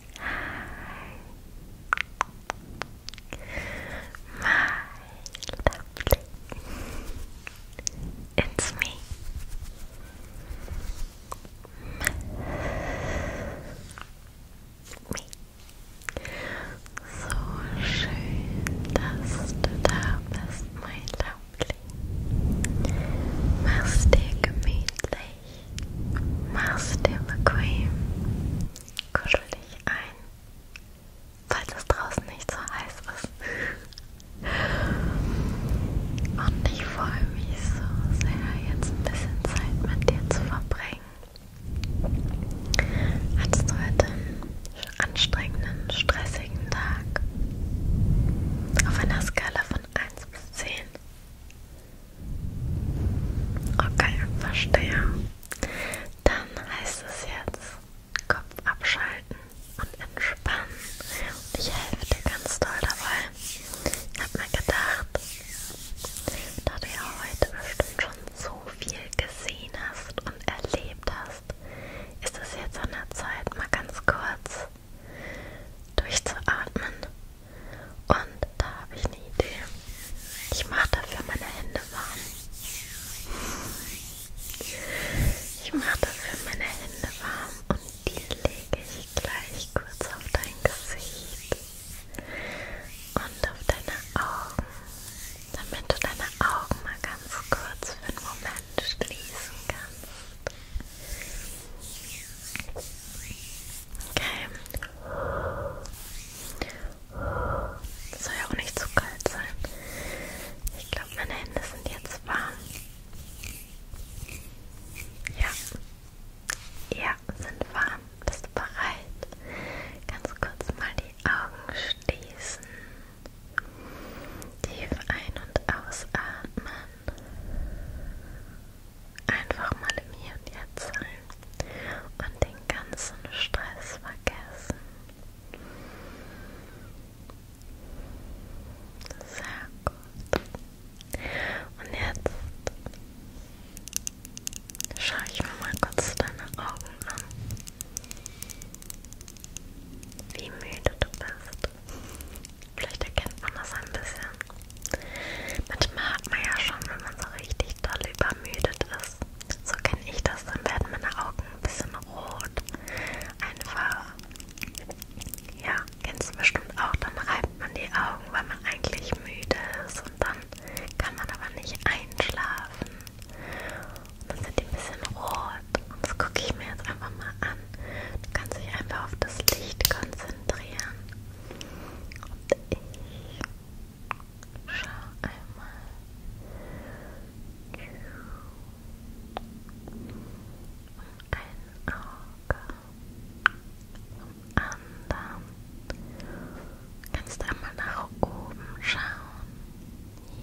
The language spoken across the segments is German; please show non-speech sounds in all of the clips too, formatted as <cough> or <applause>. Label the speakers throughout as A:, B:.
A: My lovely. It's me. Me. So schön, dass du da bist, mein Lovely. Mach's dir gemütlich. machst dir bequem, kuschel dich ein, falls es draußen nicht so heiß ist. Und ich freue mich so sehr, jetzt ein bisschen Zeit mit dir zu verbringen. Hattest du heute einen anstrengenden, stressigen Tag? Auf einer Skala von 1 bis 10. Okay, verstehe. Dann heißt es jetzt Kopf abschalten und entspannen. Und ich helfe dir ganz toll dabei. Ich habe mir gedacht, da du ja heute bestimmt schon so viel gesehen hast und erlebt hast, ist es jetzt an der Zeit, mal ganz kurz durchzuatmen und da habe ich eine Idee. Ich mache dafür meine Hände warm. Ich mache dafür meine Hände warm und die lege ich gleich kurz auf dein Gesicht und auf deine Augen, damit du deine Augen mal ganz kurz für einen Moment schließen kannst. Okay, das soll ja auch nicht zu kalt sein. Ich glaube, meine Hände sind jetzt warm. Ja. Ja, sind warm. Bist du bereit? Ganz kurz mal die Augen schließen. Tief ein- und ausatmen einfach mal im Hier und Jetzt sein und den ganzen Stress vergessen. Sehr gut. Und jetzt schaue ich mir mal kurz deine Augen an. Wie müde du bist. Vielleicht erkennt man das ein bisschen. Das mag man ja schon, wenn man so richtig doll übermüdet ist. So kenne ich das, dann werden meine Augen ein bisschen rot. Einfach, ja, kennst du bestimmt auch, dann reibt man die Augen, weil man eigentlich müde ist und dann kann man aber nicht einschlafen. Und dann sind die ein bisschen rot. Und das gucke ich mir jetzt einfach mal an. Du kannst dich einfach auf das Licht konzentrieren. Und ich Schau einmal um ein Auge, um anderen. Kannst du einmal nach oben schauen?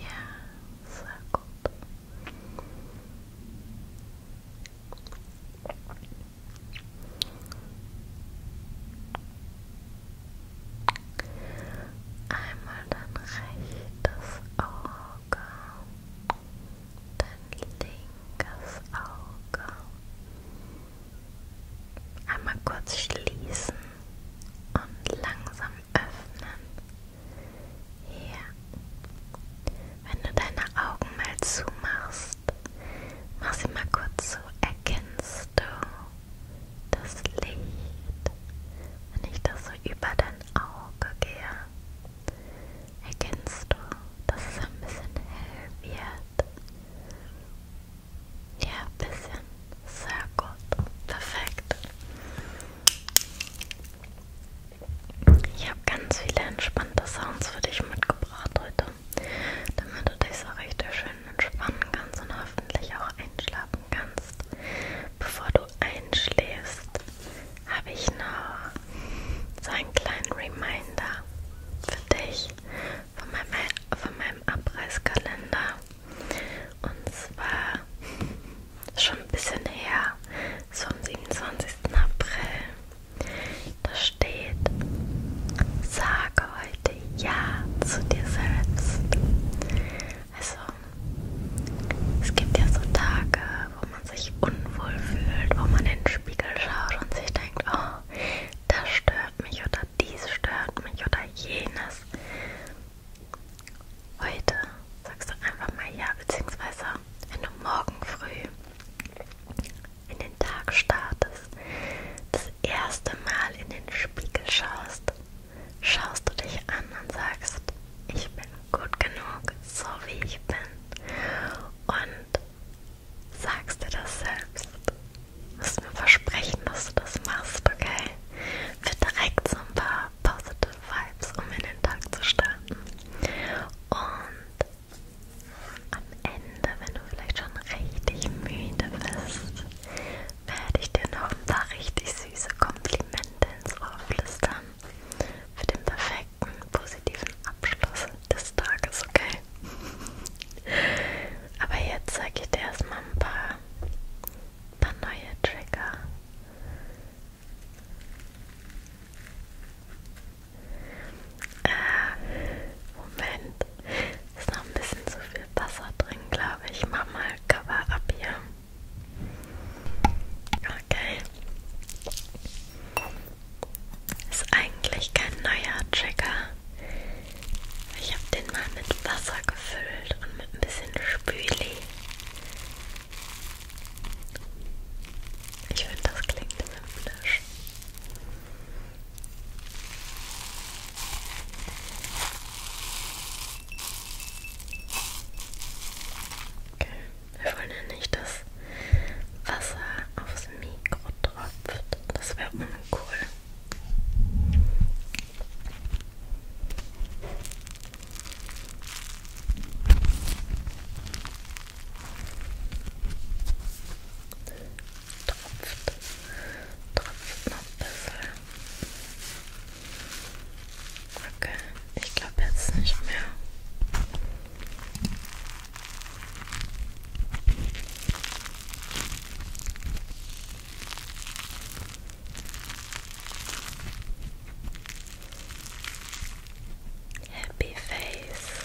A: Ja, sehr gut. Einmal dein rechtes Auge, dein linkes Auge. Einmal kurz schließen und langsam öffnen. Hier. Wenn du deine Augen mal zumachst, hast, mach sie mal kurz so. Erkennst du das Licht, wenn ich das so über dein Auge gehe? Erkennst du, dass es ein bisschen hell wird? Ja, ein bisschen. Sehr gut. Perfekt. Ich habe ganz viele entspannte Sounds für dich mitgebracht heute. Minute, damit du dich so richtig schön entspannen kannst und hoffentlich auch einschlafen kannst. Bevor du einschläfst, habe ich noch so einen kleinen Reminder für dich von meinem, von meinem Abreißkalender. Und zwar schon ein bisschen her, so am 27. April. Da steht, sage heute Ja zu dir selbst. Also, es gibt ja so Tage, wo man sich unwohl fühlt, wo man in den Spiegel schaut und sich denkt, oh, das stört mich oder dies stört mich oder jenes. Heute sagst du einfach mal Ja, beziehungsweise wenn du morgen früh in den Tag startest, das erste Mal in den Spiegel schaust, schaust du dich an und sagst, ich bin gut genug, so wie ich bin. Und sagst dir das selbst. Du musst mir versprechen, dass du das machst, okay? Für direkt so ein paar positive Vibes, um in den Tag zu starten. Und am Ende, wenn du vielleicht schon richtig müde bist, werde ich dir noch ein paar richtig süße Komplimente ins Ohr flüstern. Für den perfekten, positiven Abschluss des Tages, okay? Aber jetzt zeige ich dir erstmal ein paar, ein paar neue Trigger. Äh, Moment. Ist noch ein bisschen zu viel Wasser drin, glaube ich. Ich mach mal Cover ab hier. Okay. Ist eigentlich kein neuer Trigger. Ich habe den mal mit Wasser gefüllt und mit ein bisschen Spüli. Ich finde, das klingt himmlisch. Okay. Wir wollen ja nicht, dass Wasser aufs Mikro tropft. Das wäre uncool. Tropft. Tropft noch ein bisschen. Okay, ich glaube jetzt nicht mehr. Happy Face.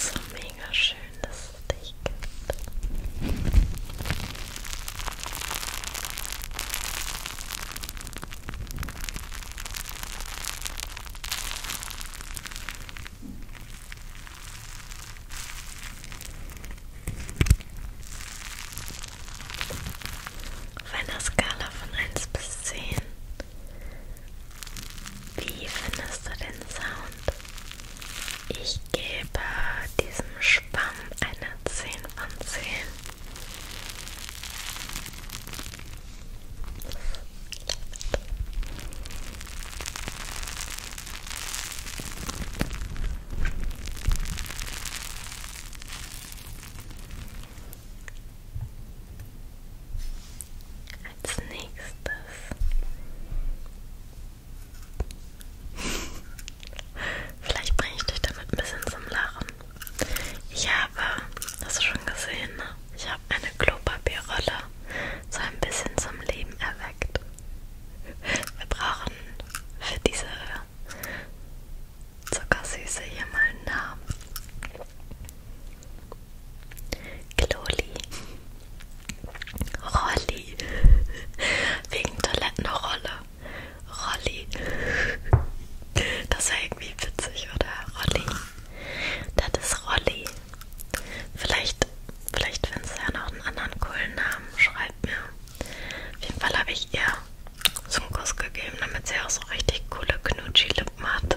A: So mega schön, dass es dich gibt. Auf einer Skala von 1 bis 10 wie findest du den Sound? Ich gebe diesem Schwamm eine 10 von 10. Als nächstes. Vielleicht bringe ich dich damit ein bisschen zum Lachen. Ich habe, hast du schon gesehen, ne? ich habe eine Klopapierrolle so ein bisschen zum Leben erweckt. Wir brauchen für diese Zuckersüße hier mal einen Namen. Kloli. Rolli. Wegen Toilettenrolle. Rolli. Das war irgendwie witzig, oder? Rolli. Das ist Rolli. Vielleicht, vielleicht findest du ja noch einen anderen coolen Namen. Schreib mir. Auf jeden Fall habe ich ihr so einen Kuss gegeben, damit sie auch so richtig coole Knutschi-Lippen hat.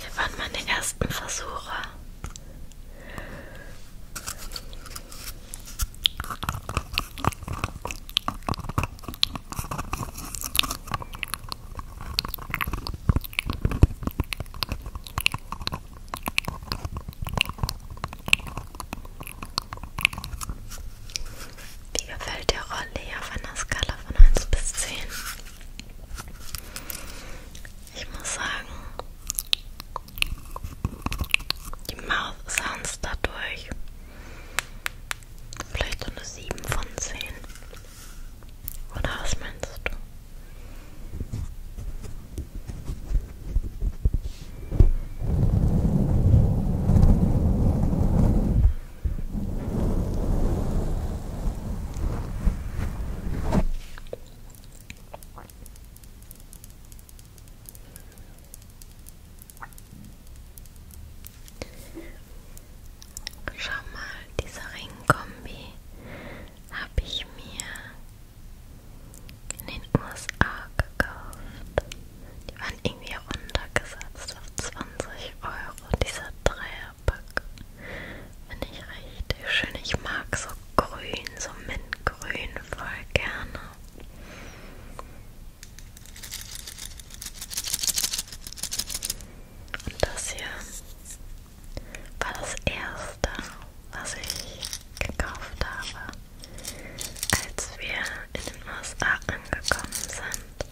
A: Hier waren meine ersten Versuche. Wie gefällt dir Rolli auf einer Skala von 1 bis 10? Ich muss sagen, die Mouth Sounds dadurch vielleicht so eine 7 von 10. Oder was meinst du? Schau mal, diese Ringkombi habe ich mir in den USA gekauft. Die waren irgendwie runtergesetzt auf 20 Euro, dieser Dreierpack. Finde ich richtig schön. Ich mag so grün, so mintgrün voll gerne. Und das hier war das erste, was ich gekauft habe, als wir in den USA angekommen sind.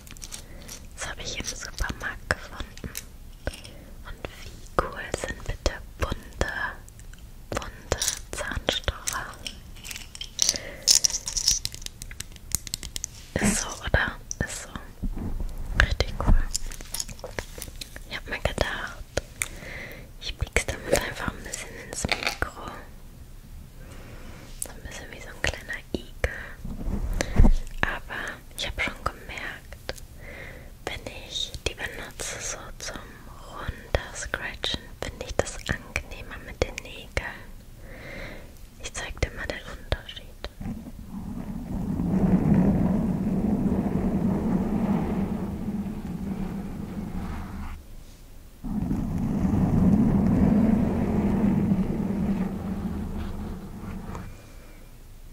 A: Das habe ich im Supermarkt gefunden. Und wie cool sind bitte bunte bunte Zahnstocher. Ist so, oder? Ist so. Richtig cool. Ich habe mir gedacht, ich piekse damit einfach ein bisschen ins Mikro. So ein bisschen wie so ein kleiner Igel. Aber ich habe schon gemerkt, wenn ich die benutze so zum Runterscratchen, finde ich das angenehmer mit den Nägeln. Ich zeig dir mal den Unterschied.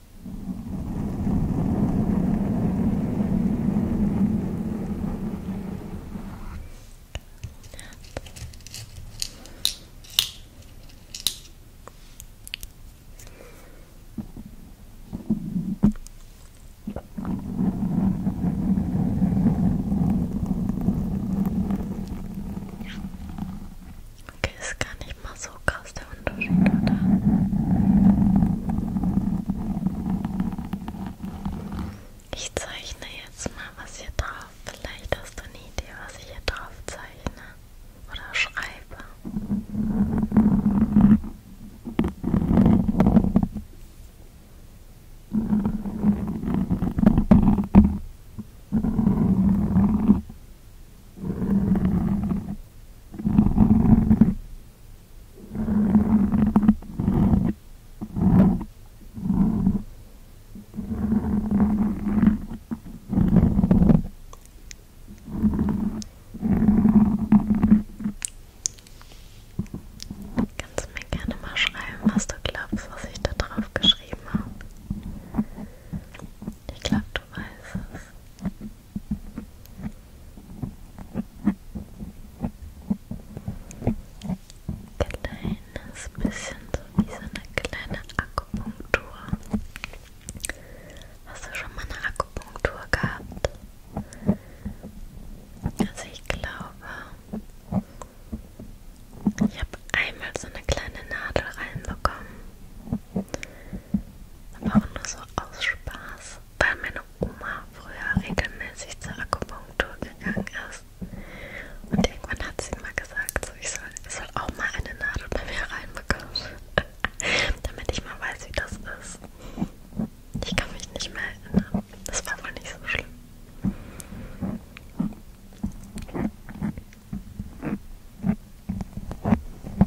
A: Okay, ist gar nicht mal so kalt ist der Unterschied, oder? Ich zeichne jetzt mal was hier drauf. Vielleicht hast du eine Idee, was ich hier drauf zeichne oder schreibe. Hm. Kannst du mir gerne mal schreiben, was du glaubst, was ich da drauf geschrieben habe? Ich glaube, du weißt es. Kleines bisschen so wie so eine kleine Akupunktur. Hast du schon mal eine Akupunktur gehabt? Also ich glaube, ich habe einmal so eine kleine Nadel reinbekommen. Aber auch nur so aus Spaß weil meine Oma früher regelmäßig zur Akupunktur gegangen ist. Und irgendwann hat sie mal gesagt, so, ich, soll, ich soll auch mal eine Nadel bei mir reinbekommen, <laughs> damit ich mal weiß, wie das ist. Ich kann mich nicht mehr erinnern. Das war wohl nicht so schlimm.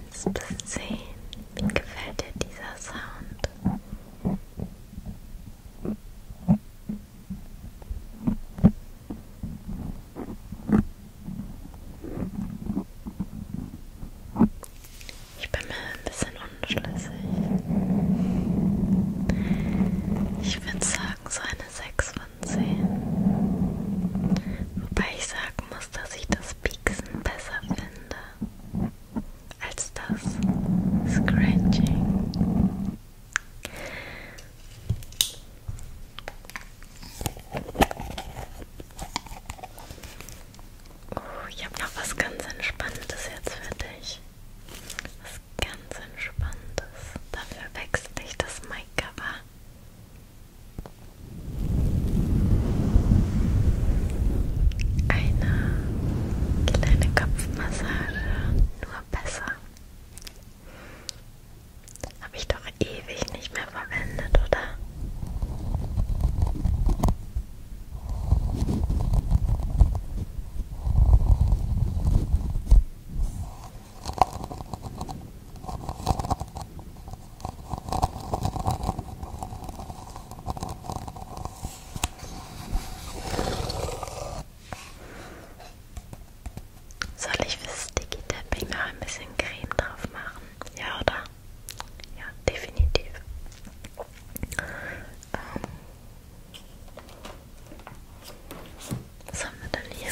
A: willst es sehen. Wie gefällt dir dieser Sound? Ich bin mir ein bisschen unschlüssig. Ich würde sagen, so eine 6 von 10. Wobei ich sagen muss, dass ich das das Pieksen besser finde als das Scratching. Oh, ich habe noch was ganz Entspanntes jetzt für dich. Was ganz Entspanntes. Dafür wechsle ich das Mic-Cover. Eine kleine Kopfmassage, nur besser. Habe ich doch ewig nicht mehr verwendet, oder? Soll ich fürs Sticky Tapping noch ein bisschen Creme drauf machen? Ja, oder? Ja, definitiv. Ähm Was haben wir denn hier?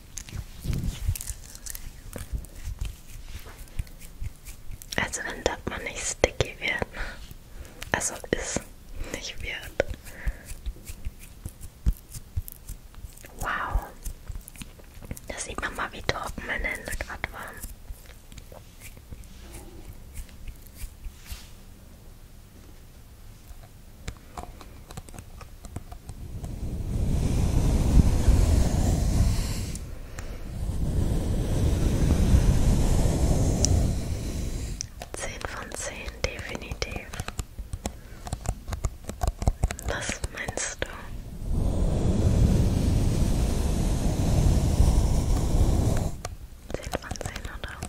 A: Also wenn das mal nicht sticky wird. Also ist nicht wird. Wow. Da sieht man mal, wie trocken meine Hände gerade waren. Zehn von zehn, definitiv. Was meinst du? Zehn von zehn, oder?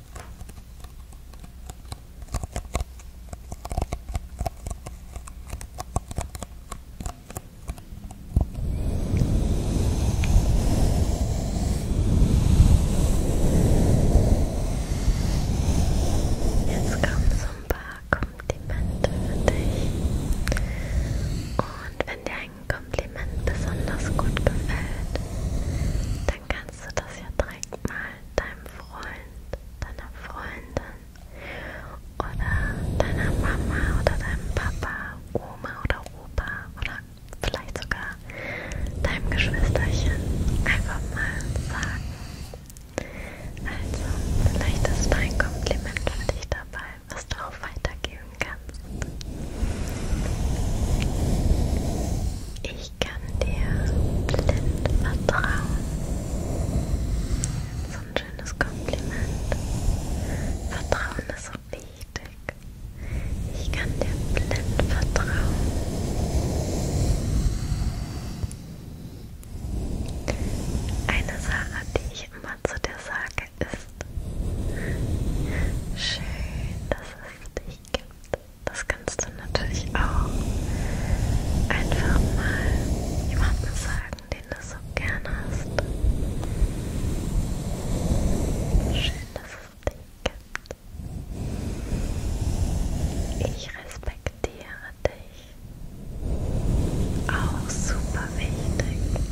A: Jetzt kommen so ein paar Komplimente für dich. Und wenn dir ein Kompliment besonders gut gefällt, dann kannst du das ja direkt mal deinem Freund, deiner Freundin oder deiner Mama oder deinem Papa, Oma oder Opa oder vielleicht sogar deinem Geschwisterchen einfach mal sagen. Also, vielleicht ist mein Kompliment für dich dabei, was du auch weitergeben kannst. Ich ich kann dir blind vertrauen. So ein schönes Kompliment. Vertrauen ist so wichtig. Ich kann dir blind vertrauen. Eine Sache, die ich immer zu dir sage, ist schön, dass es dich gibt. Das kannst du natürlich auch einfach mal jemandem sagen, den du so gerne hast. Schön, dass es dich gibt. Ich respektiere dich. Auch super wichtig,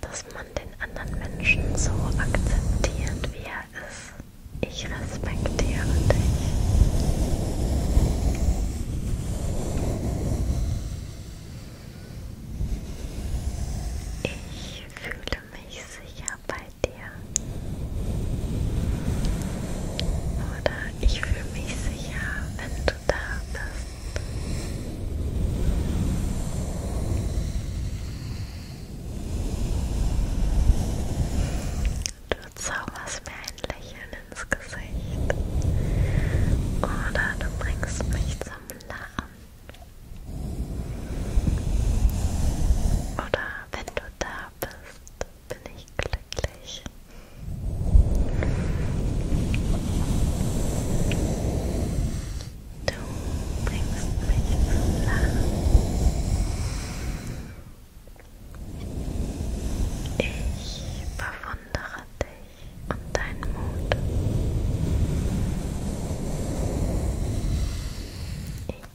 A: dass man den anderen Menschen so akzeptiert, wie er ist. Ich respektiere dich. Ich fühle mich sicher bei dir. Oder ich fühle mich sicher, wenn du da bist. Du zauberst mir ein Lächeln ins Gesicht. Oder du bringst mich zum Lachen. Oder wenn du da bist, bin ich glücklich. Du bringst mich zum Lachen. Ich bewundere dich und deinen Mut.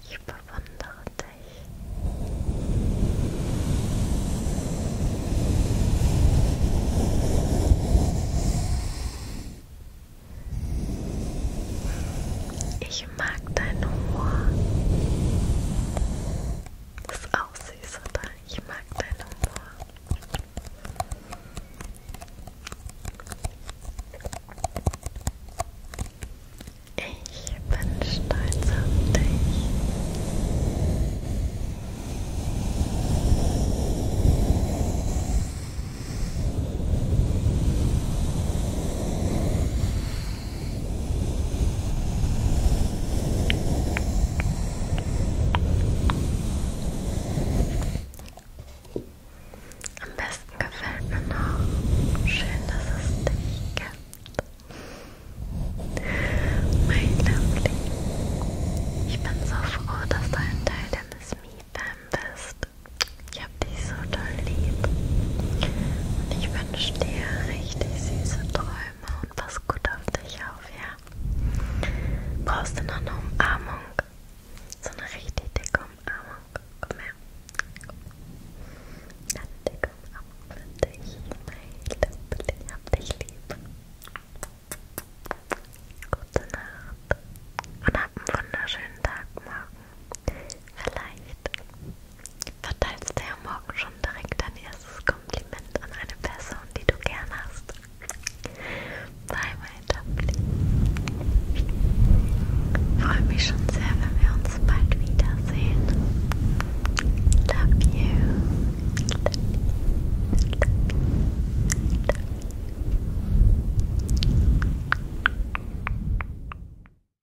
A: Ich bewundere dich. Ich ich mag deinen Humor. Das ist auch süß, oder? Ich mag deinen Humor. Ich bin stolz auf dich. Am besten gefällt mir noch. Schön, dass es dich gibt. Mein Liebling, ich bin so froh, dass du ein Teil der Miss Me habe dich so toll lieb. Und ich wünsche dir richtig süße Träume und pass gut auf dich auf, ja? Brauchst du noch eine Umarmung? So eine richtig dicke Umarmung. Komm her. Komm. Eine dicke Umarmung für dich. Mein Liebling, ich hab dich lieb. Gute Nacht und hab einen wunderschönen Tag morgen. Vielleicht verteilst du ja morgen schon direkt dein erstes Kompliment an eine Person, die du gern hast. Bye, mein Dumpling. Freue mich schon sehr, wenn wir uns bald wiedersehen. Love you. Love you. Love you. Love you.